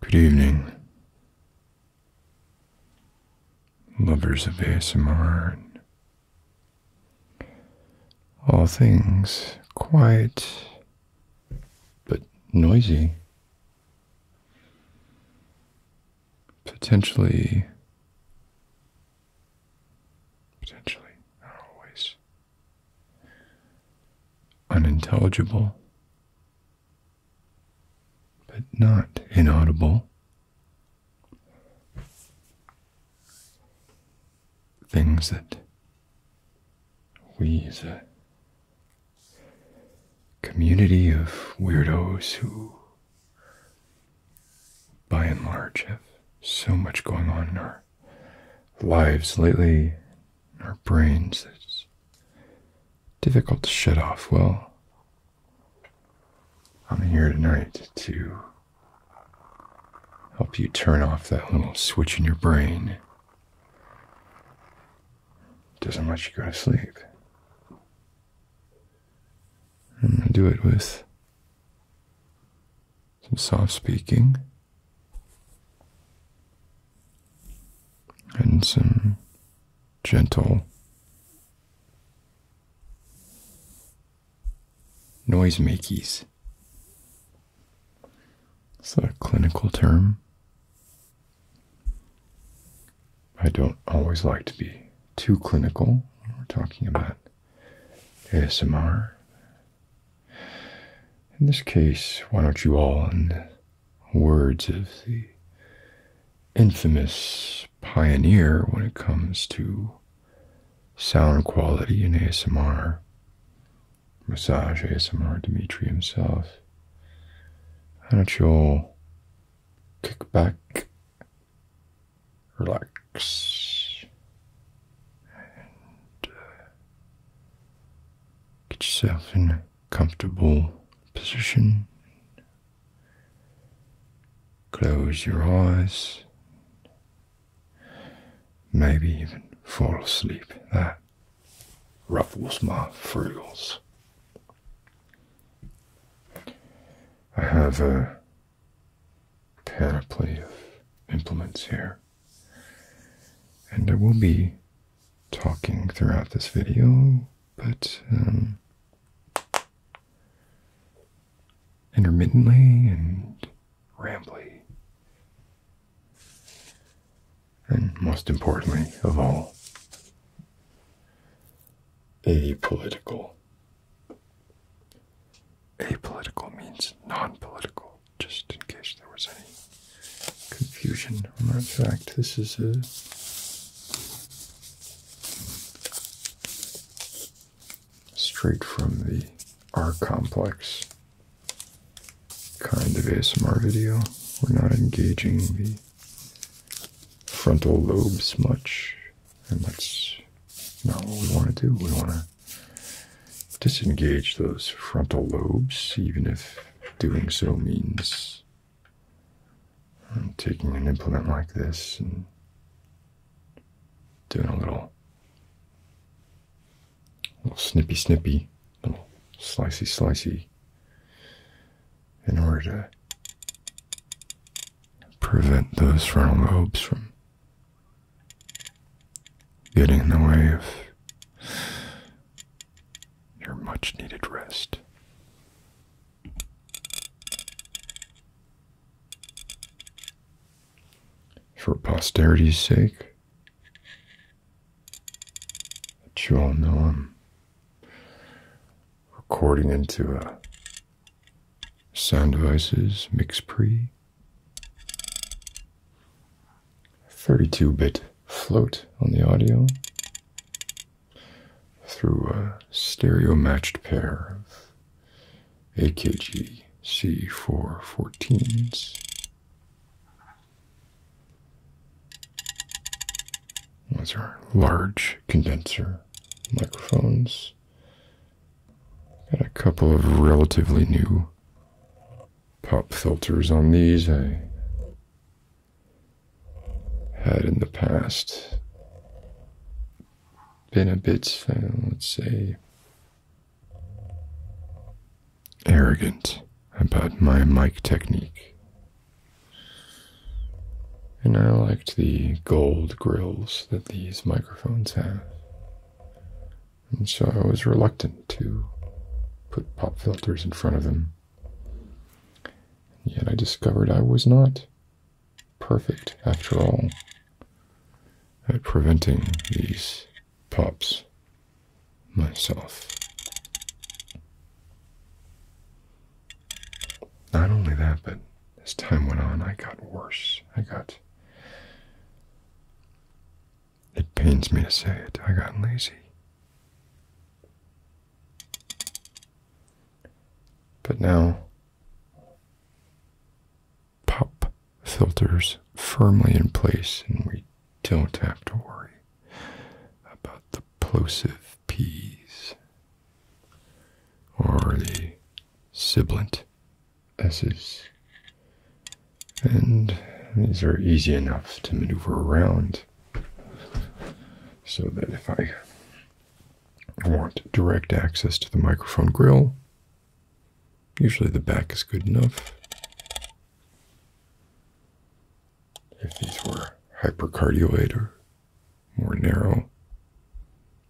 Good evening, lovers of ASMR, all things quiet but noisy, potentially, potentially, not always unintelligible, but not inaudible. Things that we as a community of weirdos who, by and large, have so much going on in our lives lately, our brains. It's difficult to shut off. Well, I'm here tonight to help you turn off that little switch in your brain. It doesn't let you go to sleep. I'm going to do it with some soft speaking, and some gentle noise makies. a clinical term? I don't always like to be too clinical when we're talking about ASMR. In this case, why don't you all, in the words of the infamous pioneer when it comes to sound quality in ASMR, massage ASMR Dimitri himself, why don't you all kick back, relax, uh, get yourself in a comfortable position. Close your eyes, maybe even fall asleep. That ruffles my frills. I have a panoply of implements here. And I will be talking throughout this video, but um, intermittently and rambly. And most importantly of all, apolitical. Apolitical means non political just in case there was any confusion. Matter of fact, this is a straight from the R complex kind of ASMR video. We're not engaging the frontal lobes much, and that's not what we want to do. We want disengage those frontal lobes, even if doing so means taking an implement like this and doing a little, little snippy snippy, little slicey slicey, in order to prevent those frontal lobes from Getting in the way of your much needed rest. For posterity's sake, that you all know I'm recording into a sound devices mix pre 32-bit float on the audio through a stereo matched pair of AKG C414s. Those are large condenser microphones Got a couple of relatively new pop filters on these. I had in the past been a bit, uh, let's say, arrogant about my mic technique. And I liked the gold grills that these microphones have and so I was reluctant to put pop filters in front of them. And yet I discovered I was not perfect after all at preventing these pops myself. Not only that, but as time went on, I got worse. I got it pains me to say it, I got lazy. But now, pop filters firmly in place, and we don't have to worry about the plosive p's or the sibilant S's. And these are easy enough to maneuver around so that if I want direct access to the microphone grill, usually the back is good enough. If these were hypercardioid or more narrow,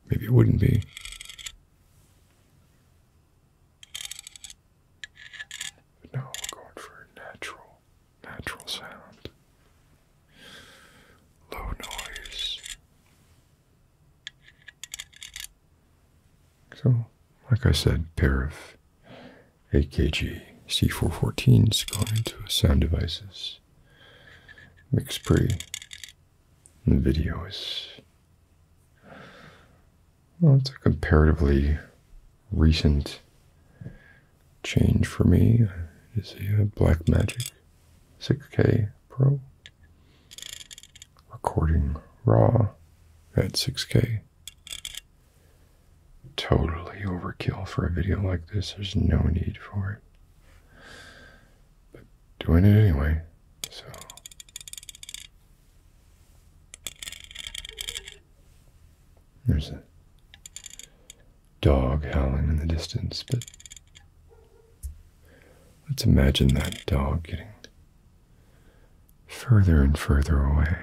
maybe it wouldn't be. But going for natural, natural sound. Low noise. So, like I said, pair of AKG C414s going into sound devices. Mix pre. The video is well, it's a comparatively recent change for me. Is a Black Magic 6K Pro recording raw at 6K. Totally overkill for a video like this. There's no need for it doing it anyway. So there's a dog howling in the distance, but let's imagine that dog getting further and further away,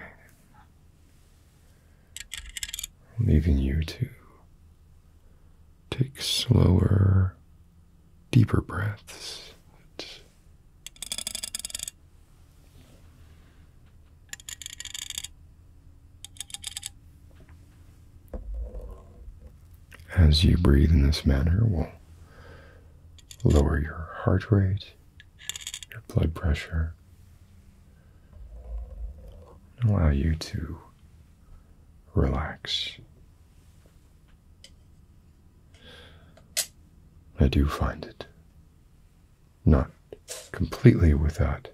leaving you to Take slower, deeper breaths. As you breathe in this manner, we'll lower your heart rate, your blood pressure, allow you to relax. I do find it not completely without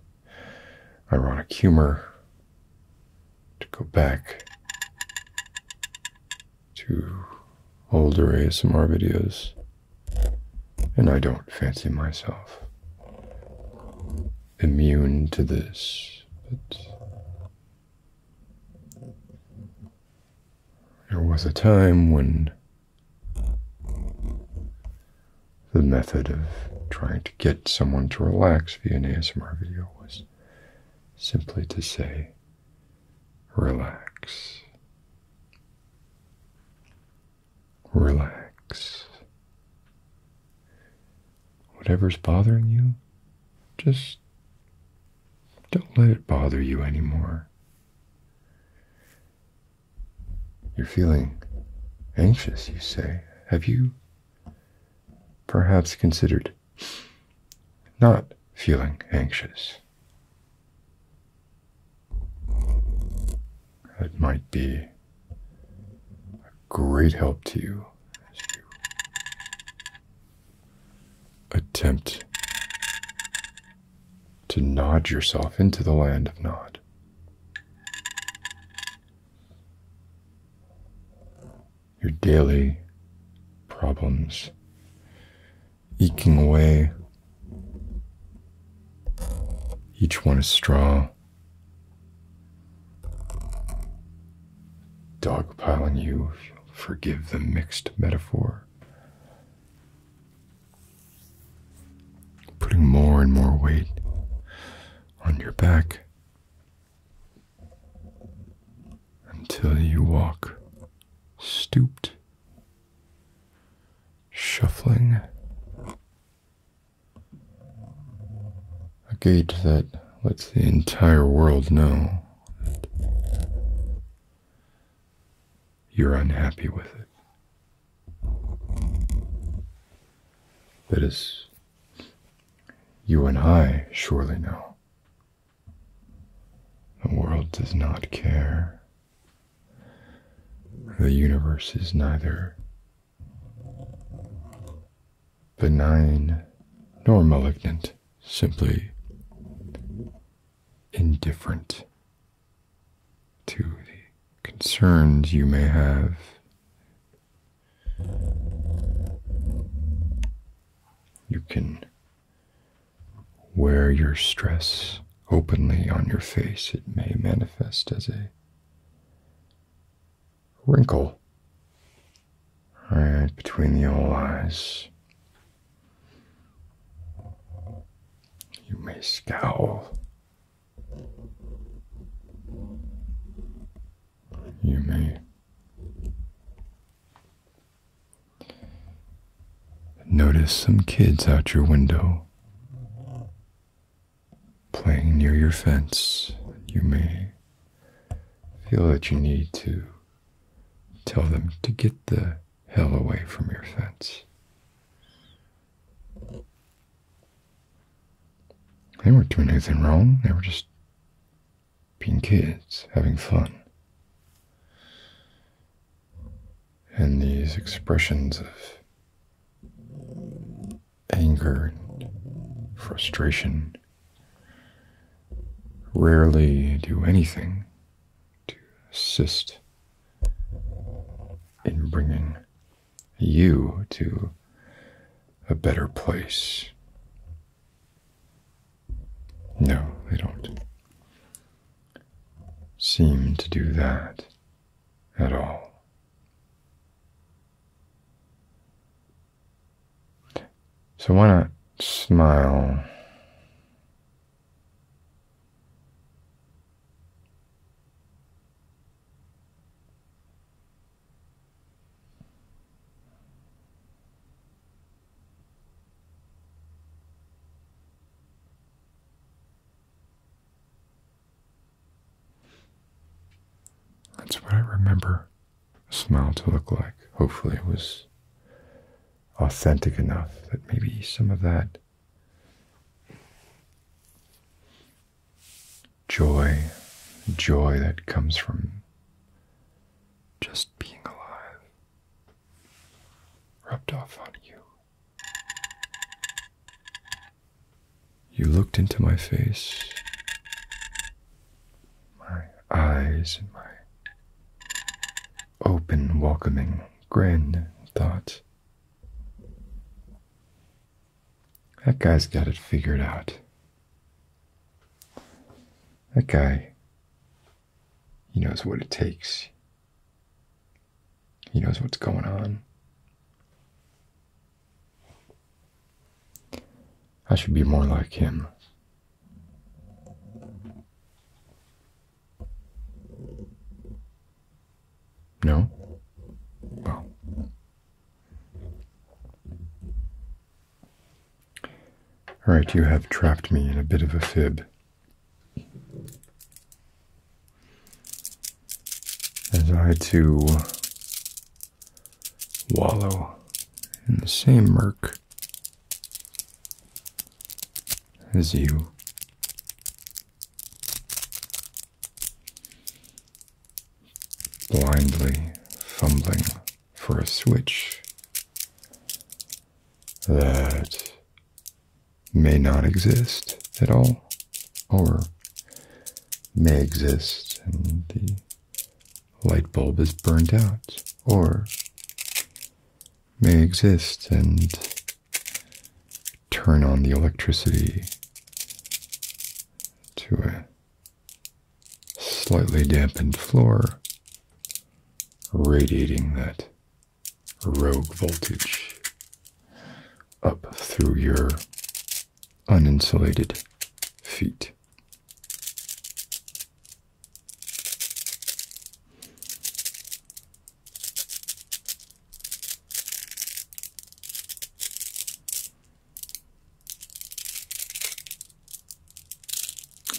ironic humor to go back to older ASMR videos, and I don't fancy myself immune to this, but there was a time when the method of trying to get someone to relax via an ASMR video was simply to say, relax, relax, whatever's bothering you, just don't let it bother you anymore. You're feeling anxious, you say. Have you perhaps considered not feeling anxious? It might be a great help to you you attempt to nod yourself into the land of Nod. Your daily problems eking away, each one a straw dogpiling you, if you'll forgive the mixed metaphor. Putting more and more weight on your back until you walk stooped, shuffling a gauge that lets the entire world know that you're unhappy with it. That is, you and I surely know. The world does not care. The universe is neither benign nor malignant, simply indifferent to the concerns you may have. You can wear your stress openly on your face. It may manifest as a wrinkle right between the old eyes. You may scowl. You may notice some kids out your window playing near your fence. You may feel that you need to tell them to get the hell away from your fence. They weren't doing anything wrong, they were just being kids, having fun. And these expressions of anger, frustration. Rarely do anything to assist in bringing you to a better place. No, they don't seem to do that at all. So why not smile? That's what I remember smile to look like. Hopefully, it was authentic enough that maybe some of that joy, joy that comes from just being alive, rubbed off on you. You looked into my face, my eyes, and my open, welcoming grin thought. That guy's got it figured out. That guy, he knows what it takes. He knows what's going on. I should be more like him. No? Well. All right, you have trapped me in a bit of a fib. As I, too, wallow in the same murk as you. Blindly fumbling for a switch that may not exist at all, or may exist in the light bulb is burnt out or may exist and turn on the electricity to a slightly dampened floor, radiating that rogue voltage up through your uninsulated feet.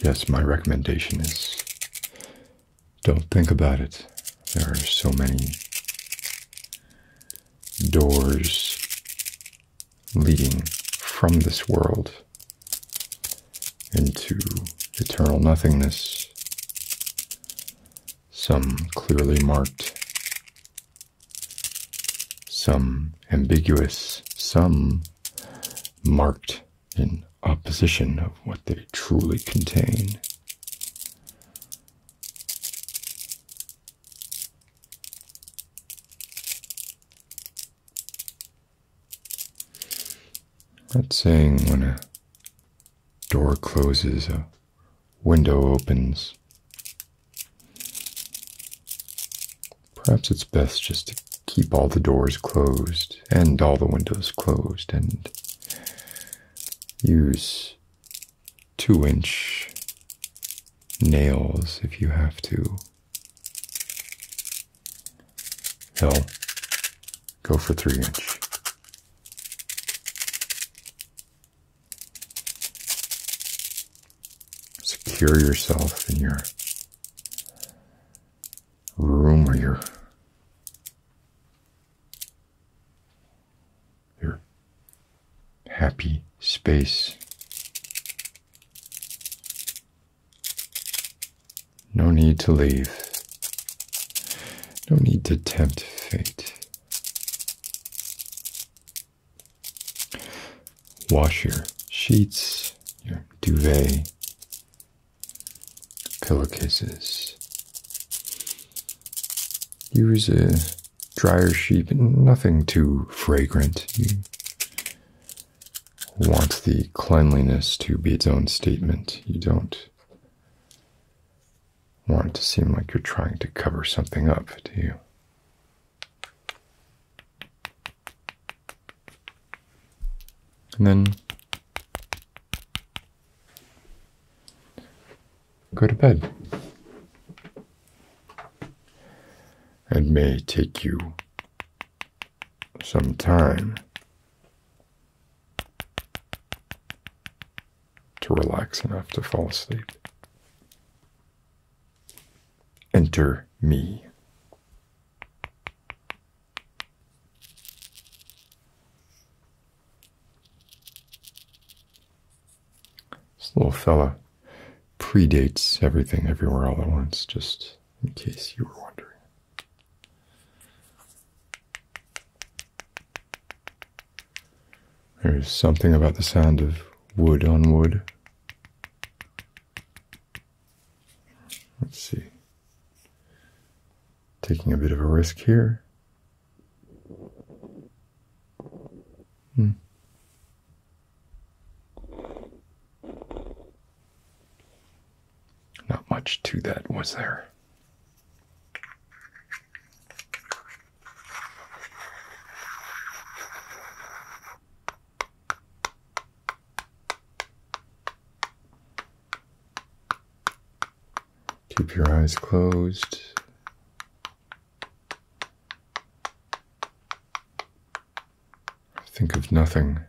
Yes, my recommendation is don't think about it. There are so many doors leading from this world into eternal nothingness, some clearly marked, some ambiguous, some marked in opposition of what they truly contain. That's saying when a door closes, a window opens. Perhaps it's best just to keep all the doors closed and all the windows closed and use two inch nails if you have to. No, go for three inch. Secure yourself in your room or your your Happy space. No need to leave. No need to tempt fate. Wash your sheets, your duvet, pillowcases. Use a Drier sheep, nothing too fragrant. You want the cleanliness to be its own statement. You don't want it to seem like you're trying to cover something up, do you? And then go to bed. and may take you some time to relax enough to fall asleep. Enter me. This little fella predates everything everywhere all at once, just in case you were wondering. There's something about the sound of wood on wood. Let's see. Taking a bit of a risk here. Hmm. Not much to that, was there? Keep your eyes closed. Think of nothing.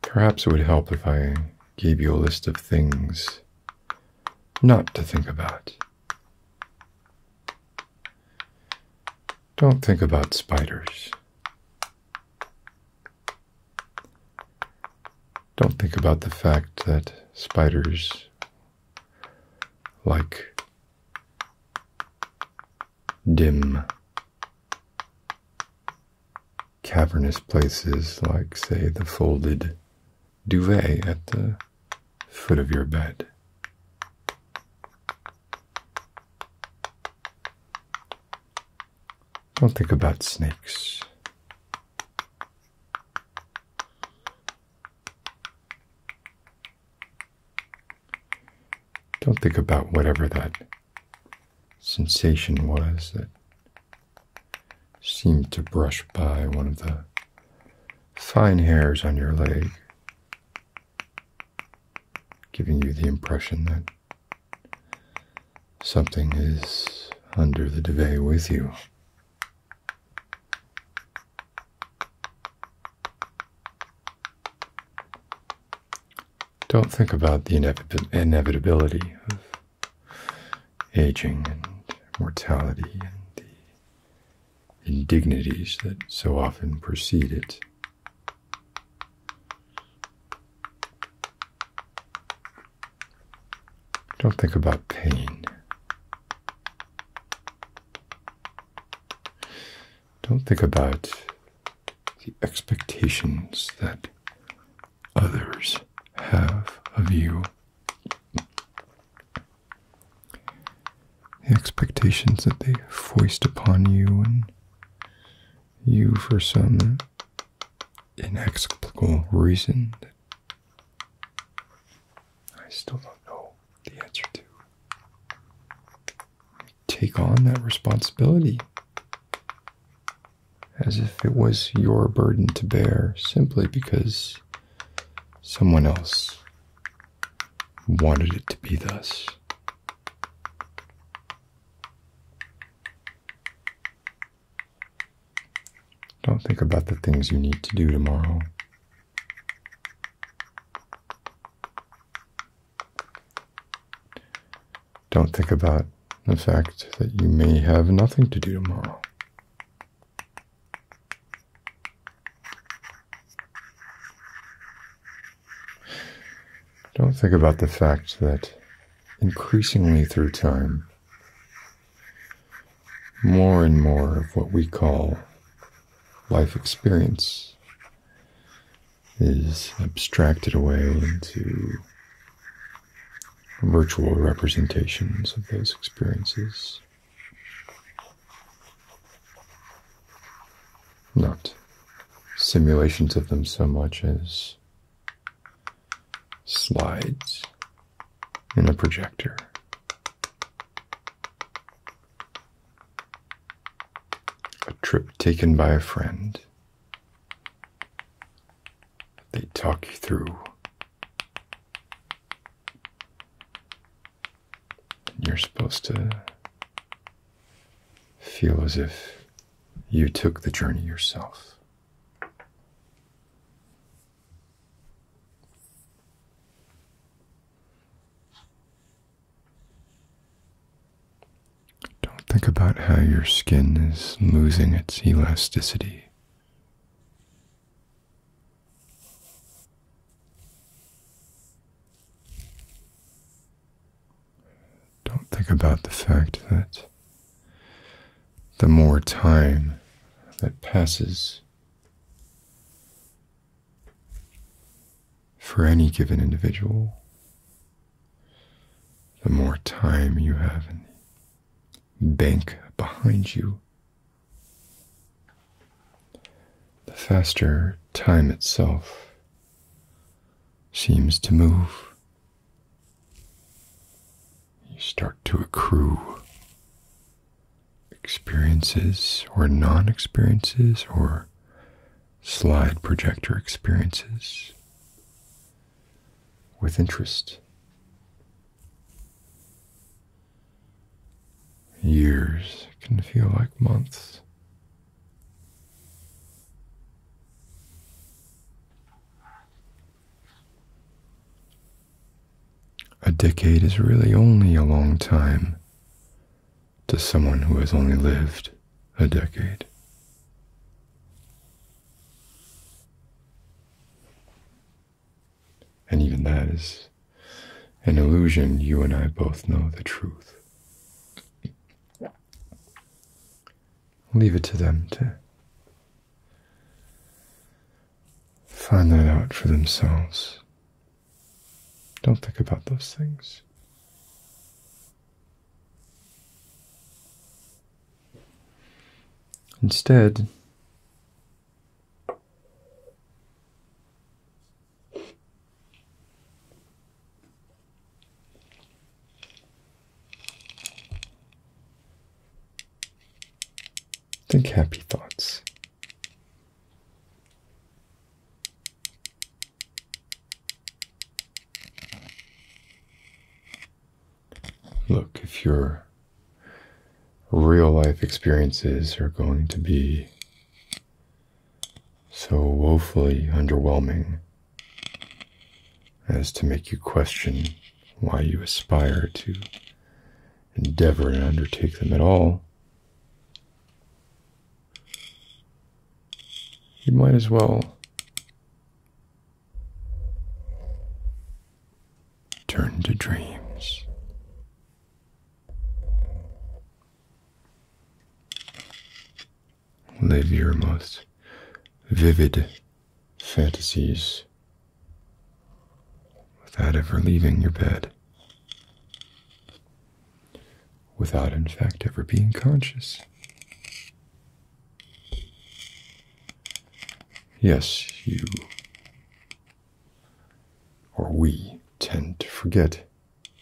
Perhaps it would help if I gave you a list of things not to think about. Don't think about spiders. Don't think about the fact that spiders like dim, cavernous places like, say, the folded duvet at the foot of your bed. Don't think about snakes. Don't think about whatever that sensation was that seemed to brush by one of the fine hairs on your leg, giving you the impression that Something is under the duvet with you. Don't think about the inevitability of aging and mortality and the indignities that so often precede it. Don't think about pain. Don't think about the expectations that others have of you. The expectations that they foist upon you, and you, for some inexplicable reason that I still don't know the answer to. Take on that responsibility as if it was your burden to bear simply because someone else wanted it to be thus. Don't think about the things you need to do tomorrow. Don't think about the fact that you may have nothing to do tomorrow. Don't think about the fact that increasingly through time, more and more of what we call life experience is abstracted away into virtual representations of those experiences. Not simulations of them so much as slides in a projector. A trip taken by a friend. They talk you through. and You're supposed to feel as if you took the journey yourself. Don't think about how your skin is losing its elasticity don't think about the fact that the more time that passes for any given individual, the more time you have in the bank behind you, the faster time itself seems to move. You start to accrue experiences or non experiences or slide projector experiences with interest. Years can feel like months. A decade is really only a long time to someone who has only lived a decade. And even that is an illusion. You and I both know the truth leave it to them to find that out for themselves. Don't think about those things. Instead, Think happy thoughts. Look, if your real life experiences are going to be so woefully underwhelming, as to make you question why you aspire to endeavor and undertake them at all, you might as well turn to dreams live your most vivid fantasies without ever leaving your bed, without in fact ever being conscious. Yes, you or we tend to forget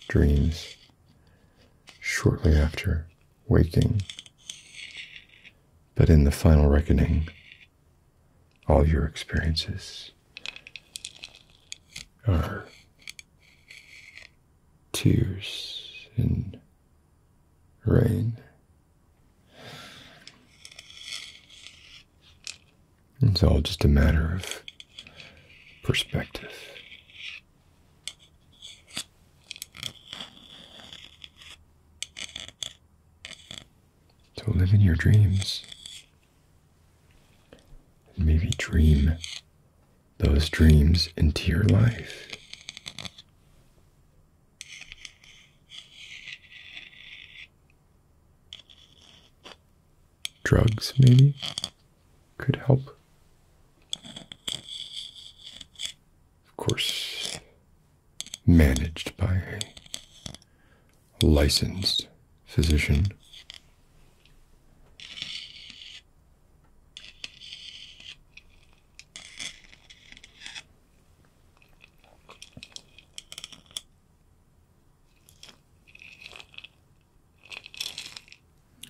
dreams shortly after waking but in the final reckoning, all your experiences are tears and rain. It's all just a matter of perspective. To live in your dreams. And maybe dream those dreams into your life. Drugs, maybe, could help of course, managed by a licensed physician.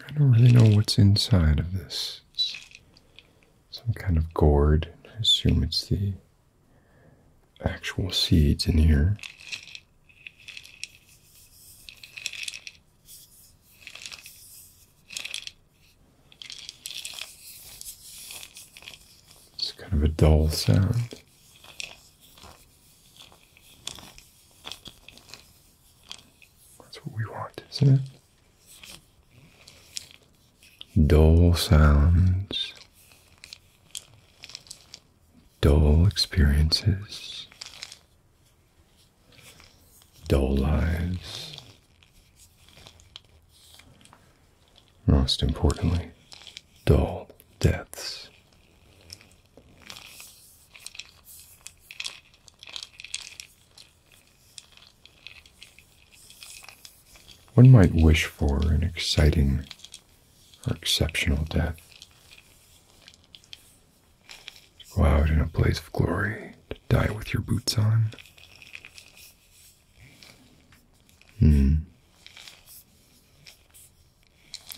I don't really know what's inside of this. some kind of gourd. I assume it's the actual seeds in here. It's kind of a dull sound. That's what we want, isn't it? dull sounds, dull experiences, dull lives. Most importantly, dull deaths. One might wish for an exciting or exceptional death. go out in a blaze of glory, to die with your boots on. Hmm.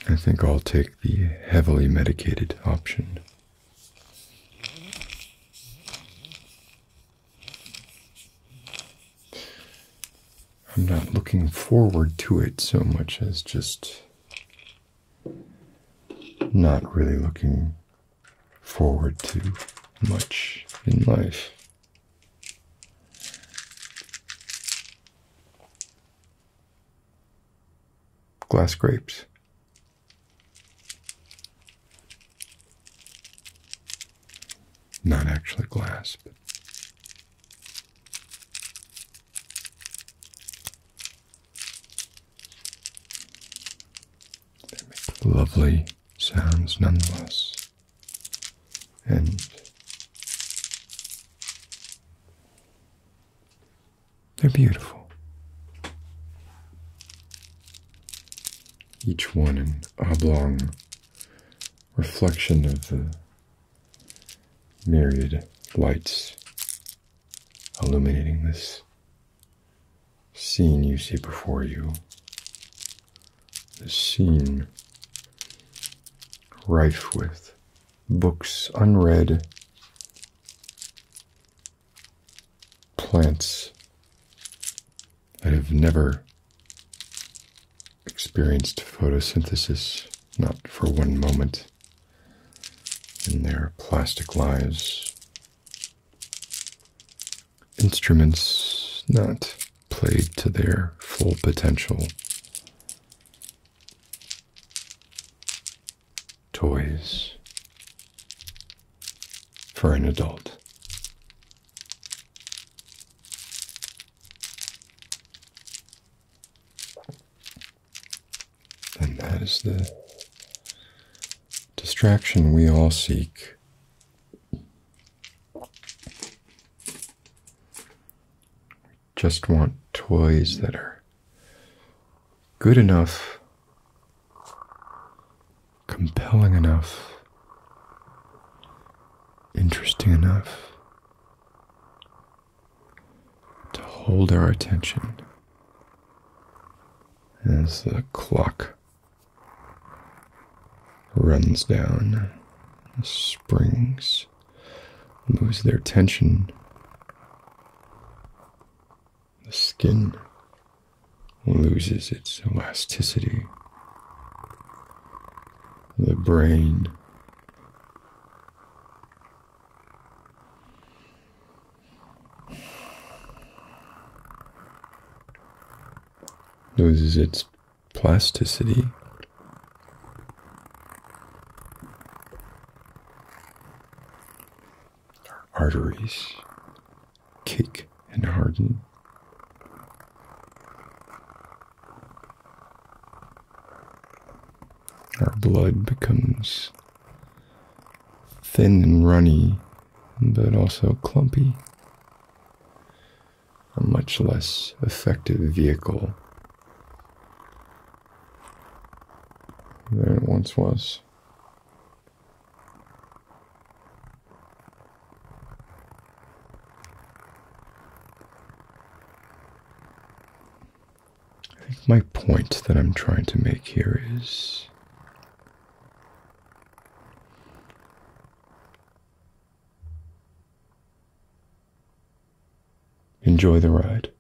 I think I'll take the heavily medicated option. I'm not looking forward to it so much as just not really looking forward to much in life. Glass grapes. Not actually glass, but. They make lovely sounds nonetheless. And they're beautiful. Each one an oblong reflection of the myriad lights illuminating this scene you see before you. This scene rife with books unread plants that have never experienced photosynthesis, not for one moment, in their plastic lives. Instruments not played to their full potential toys for an adult. And that is the distraction we all seek. Just want toys that are good enough, compelling enough, interesting enough to hold our attention as the clock runs down, springs lose their tension the skin loses its elasticity. The brain loses its plasticity. Our arteries kick and harden. Our blood becomes thin and runny, but also clumpy. A much less effective vehicle there it once was. I think my point that I'm trying to make here is enjoy the ride.